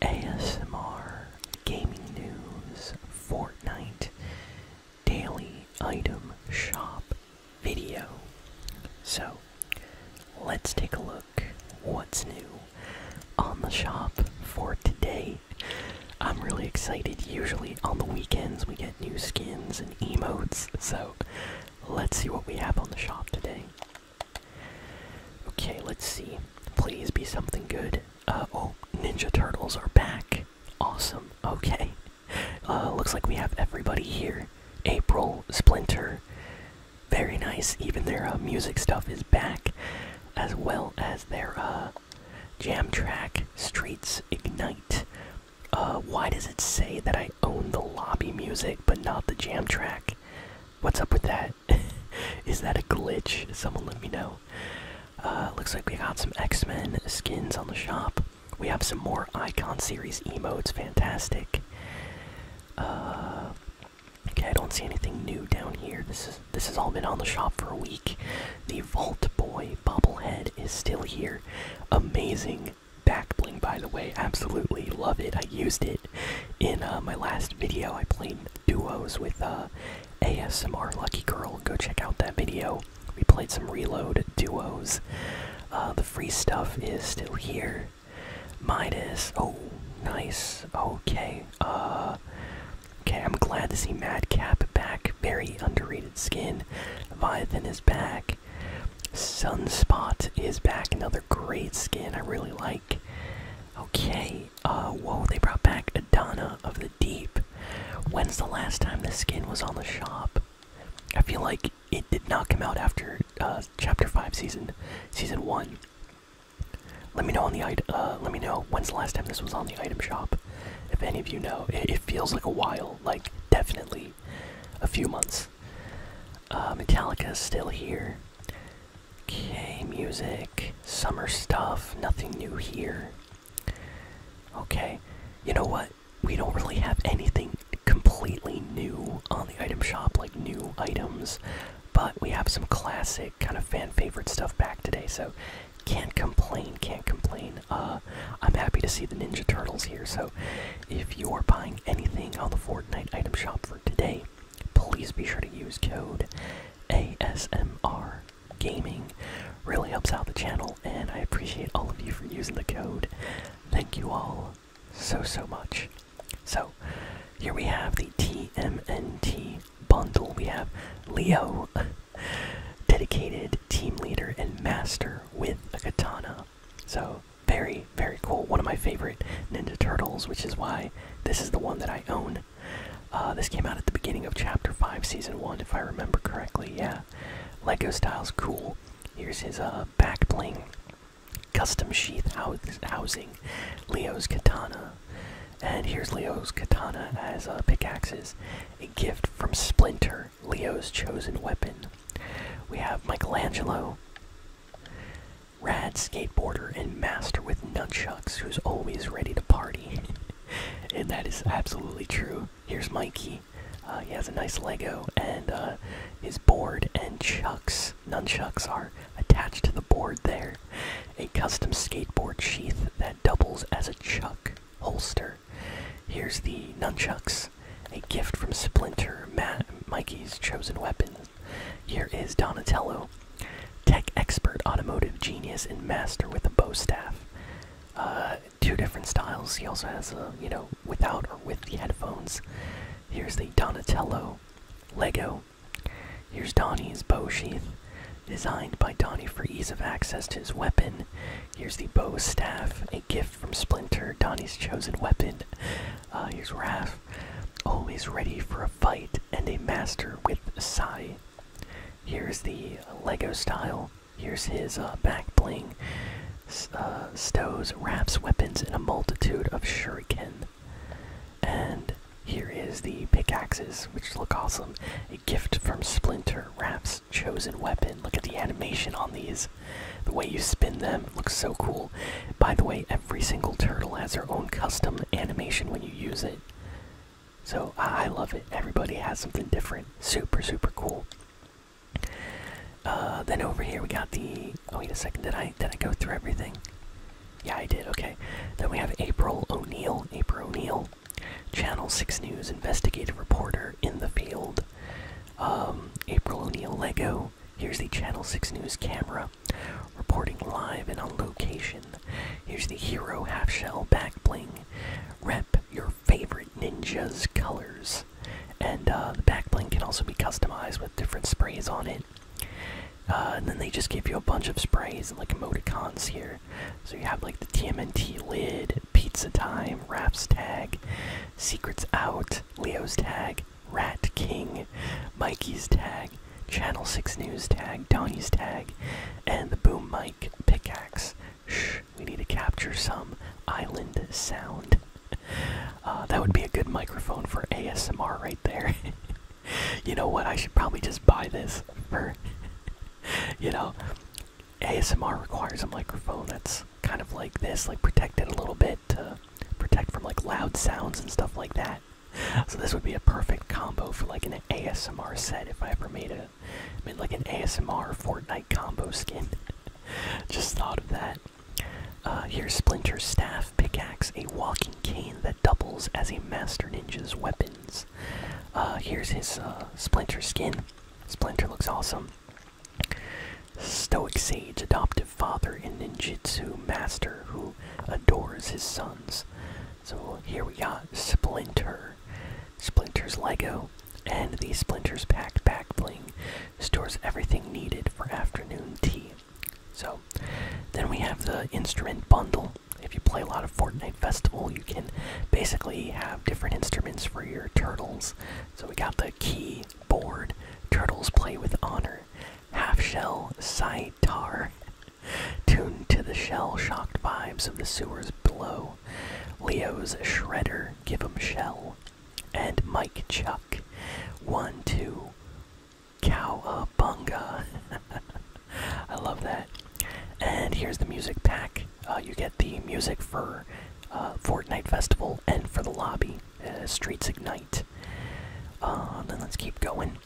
ASMR, gaming news, Fortnite, daily item shop video. So let's take a look what's new on the shop for today. I'm really excited. Usually on the weekends we get new skins and emotes, so let's see what we have on the shop today. Okay, let's see. Please be something good. Uh, oh, Ninja Turtles are back. Awesome. Okay. Uh, looks like we have everybody here. April, Splinter. Very nice. Even their uh, music stuff is back, as well as their jam track, Streets Ignite. Uh, why does it say that I own the lobby music but not the jam track? What's up with that? Is that a glitch? Someone let me know. Uh, looks like we got some X Men skins on the shop. We have some more Icon Series emotes. Fantastic. Uh, okay, I don't see anything new down here. This is this has all been on the shop for a week. The Vault Boy bobblehead is still here. Amazing back bling, by the way. Absolutely love it. I used it in uh, my last video. I played duos with uh, ASMR Lucky Girl. Go check out that video. We played some Reload duos. Uh, the free stuff is still here. Minus. Oh, nice. Okay. Uh, okay, I'm glad to see Madcap back. Very underrated skin. Viathan is back. Sunspot is back. Another great skin. I really like. Okay, uh, whoa, they brought back Adana of the Deep. When's the last time this skin was on the shop? I feel like it did not come out after uh, Chapter 5 Season season 1. Let me know on the uh, let me know when's the last time this was on the item shop. If any of you know, it, feels like a while, like definitely a few months. Uh, Metallica is still here. Okay, music. Summer stuff. Nothing new here. Okay. You know what? We don't really have anything completely new on the item shop, like new items, but we have some classic kind of fan favorite stuff back today, so can't complain, can't complain. Uh, I'm happy to see the Ninja Turtles here, so if you're buying anything on the Fortnite item shop for today, please be sure to use code ASMR Gaming. Really helps out the channel, and I appreciate all of you for using the code. Thank you all so, so much. So, here we have the TMNT bundle. We have Leo, dedicated team leader and master with a katana. So, very, very cool. One of my favorite Ninja Turtles, which is why this is the one that I own. Uh, this came out at the beginning of Chapter 5, Season 1, if I remember correctly. Yeah. Lego style's cool. Here's his uh, back bling, custom sheath housing, Leo's katana. And here's Leo's katana as a uh, pickaxes, a gift from Splinter, Leo's chosen weapon. We have Michelangelo. Rad skateboarder and master with nunchucks who's always ready to party. and that is absolutely true. Here's Mikey. Uh, he has a nice Lego and uh, his board and chucks. Nunchucks are attached to the board there. A custom skateboard sheath that doubles as a chuck holster. Here's the nunchucks. A gift from Splinter, Mikey's chosen weapon. Here is Donatello, tech expert, automotive genius, and master with a bow staff. Uh, two different styles. He also has a, you know, without or with the headphones. Here's the Donatello Lego. Here's Donnie's bow sheath, designed by Donnie for ease of access to his weapon. Here's the bow staff, a gift from Splinter, Donnie's chosen weapon. Uh, here's Raph, always ready for a fight and a master with Sai. Here's the Lego style. Here's his uh, back bling. Uh, stows wraps weapons in a multitude of shuriken. And here is the pickaxes, which look awesome. A gift from Splinter wraps chosen weapon. Look at the animation on these. The way you spin them looks so cool. By the way, every single turtle has their own custom animation when you use it. So I love it. Everybody has something different. Super, super cool. Uh, then over here we got the. Oh wait a second. Did I did I go through everything? Yeah, I did. Okay. Then we have April O'Neill. April O'Neill, Channel Six News investigative reporter in the field. Um, April O'Neill Lego here's the Channel 6 News camera reporting live and on location. Here's the Hero Half Shell Back Bling. Rep your favorite ninja's colors. And uh, the back bling can also be customized with different sprays on it. Uh, and then they just give you a bunch of sprays and like emoticons here. So you have like the TMNT lid, Pizza Time, wraps tag, Secrets Out, Leo's tag, Rat King, Mikey's tag Channel 6 News tag, Donny's tag, and the boom Mike pickaxe. Shh, we need to capture some island sound. Uh, that would be a good microphone for ASMR right there. you know what? I should probably just buy this for. you know, ASMR requires a microphone that's kind of like this, like protected a little bit to protect from like loud sounds and stuff like that. So this would be a perfect combo for like an ASMR set if I ever made a made like an ASMR Fortnite combo skin. Just thought of that. Uh, here's Splinter's staff pickaxe, a walking cane that doubles as a master ninja's weapons. Uh, here's his uh, Splinter skin. Splinter looks awesome. Stoic sage, adoptive father, and ninjitsu master who adores his sons. So here we got Splinter, Splinter's Lego, and the Splinter's Pack back Bling stores everything needed for afternoon tea. So then we have the instrument bundle. If you play a lot of Fortnite Festival, you can basically have different instruments for your turtles. So we got the key, Board, Turtles Play with Honor, Half Shell Saitar, tuned to the shell shocked vibes of the sewers below, Leo's Shredder, Give 'em Shell, and Mike Chuck, 1 2 Cowabunga. I love that. And here's the music pack. Uh, you get the music for uh, Fortnite Festival and for the lobby. Uh, Streets Ignite. Uh, then let's keep going.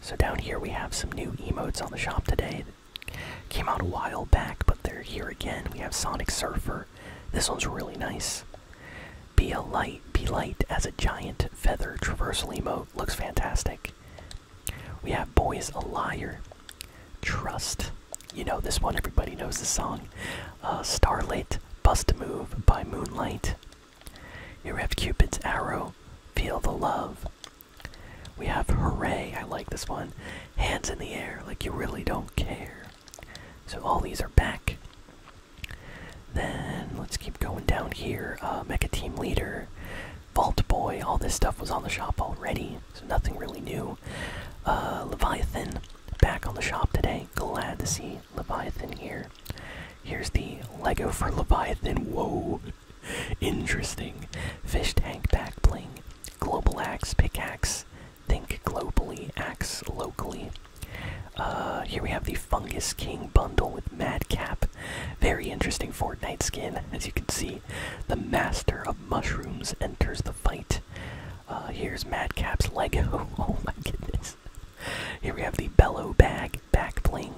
So down here we have some new emotes on the shop today. That came out a while back, but they're here again. We have Sonic Surfer. This one's really nice. Be a light, be light as a giant feather traversal emote. Looks fantastic. We have Boys a Liar. Trust. You know this one, everybody knows the song. A uh, Starlit, Bust Move by Moonlight. Here we have Cupid's Arrow, Feel the Love. We have Hooray, I like this one. Hands in the Air, like you really don't care. So all these are back. Then let's keep going down here. Uh, Mecha Team Leader, Vault Boy, all this stuff was on the shop already, so nothing really new. Uh, Leviathan, back on the shop today glad to see Leviathan here. Here's the Lego for Leviathan. Whoa! Interesting. Fish tank back bling. Global axe pickaxe. Think globally, axe locally. Uh, here we have the Fungus King bundle with Madcap. Very interesting Fortnite skin, as you can see. The master of mushrooms enters the fight. Uh, here's Madcap's Lego. oh my goodness. Here we have the Bellow Bag Back Bling.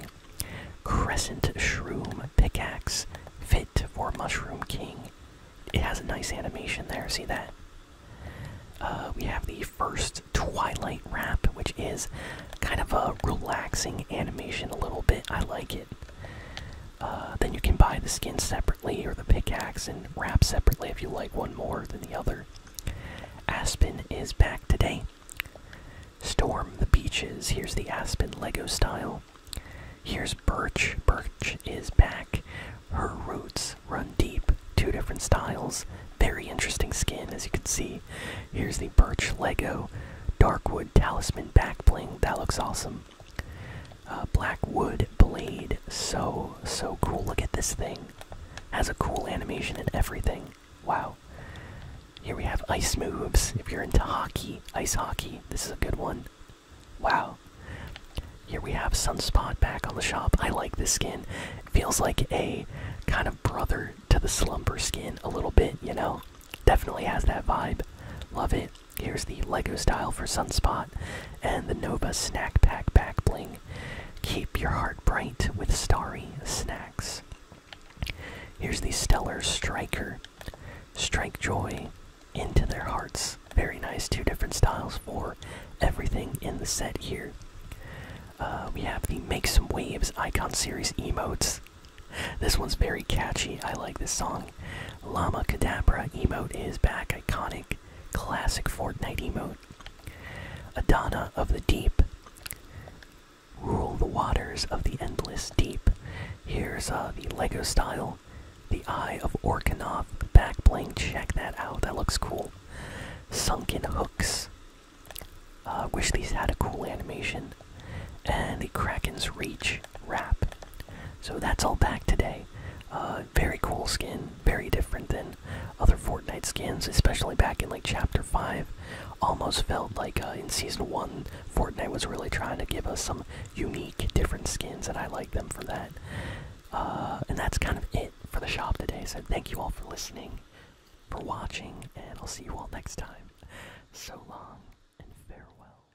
Crescent Shroom Pickaxe. Fit for Mushroom King. It has a nice animation there, see that? Uh, we have the first Twilight Wrap, which is kind of a relaxing animation a little bit. I like it. Uh, then you can buy the skin separately or the pickaxe and wrap separately if you like one more than the other. Aspen is back today. Storm the beeches. Here's the Aspen Lego style. Here's Birch. Birch is back. Her roots run deep. Two different styles. Very interesting skin, as you can see. Here's the Birch Lego Darkwood Talisman backbling. That looks awesome. Uh, black wood blade, so so cool. Look at this thing. Has a cool animation and everything. Wow. Here we have ice moves. If you're into hockey, ice hockey, this is a good one. Wow. Here we have Sunspot back on the shop. I like this skin. feels like a kind of brother to the Slumber skin a little bit, you know? Definitely has that vibe. Love it. Here's the Lego style for Sunspot and the Nova Snack Pack Back Bling. Keep your heart bright with starry snacks. Here's the Stellar Striker. Strike joy into their hearts. Very nice. Two different styles for everything in the set here. Uh, we have the Make Some Waves Icon Series emotes. This one's very catchy. I like this song. Lama Cadabra emote is back. Iconic, classic Fortnite emote. Adana of the Deep. Rule the waters of the endless deep. Here's uh, the Lego style. The Eye of Orkanov back bling. Check that out. That looks cool. Sunken Hooks. Uh, wish these had a cool animation. And the Kraken's Reach wrap. So that's all back today. Uh, very cool skin, very different than other Fortnite skins, especially back in like Chapter 5. Almost felt like uh, in Season 1, Fortnite was really trying to give us some unique, different skins, and I like them for that. Uh, and that's kind of it for the shop today. So thank you all for listening, for watching, and I'll see you all next time. So long and farewell.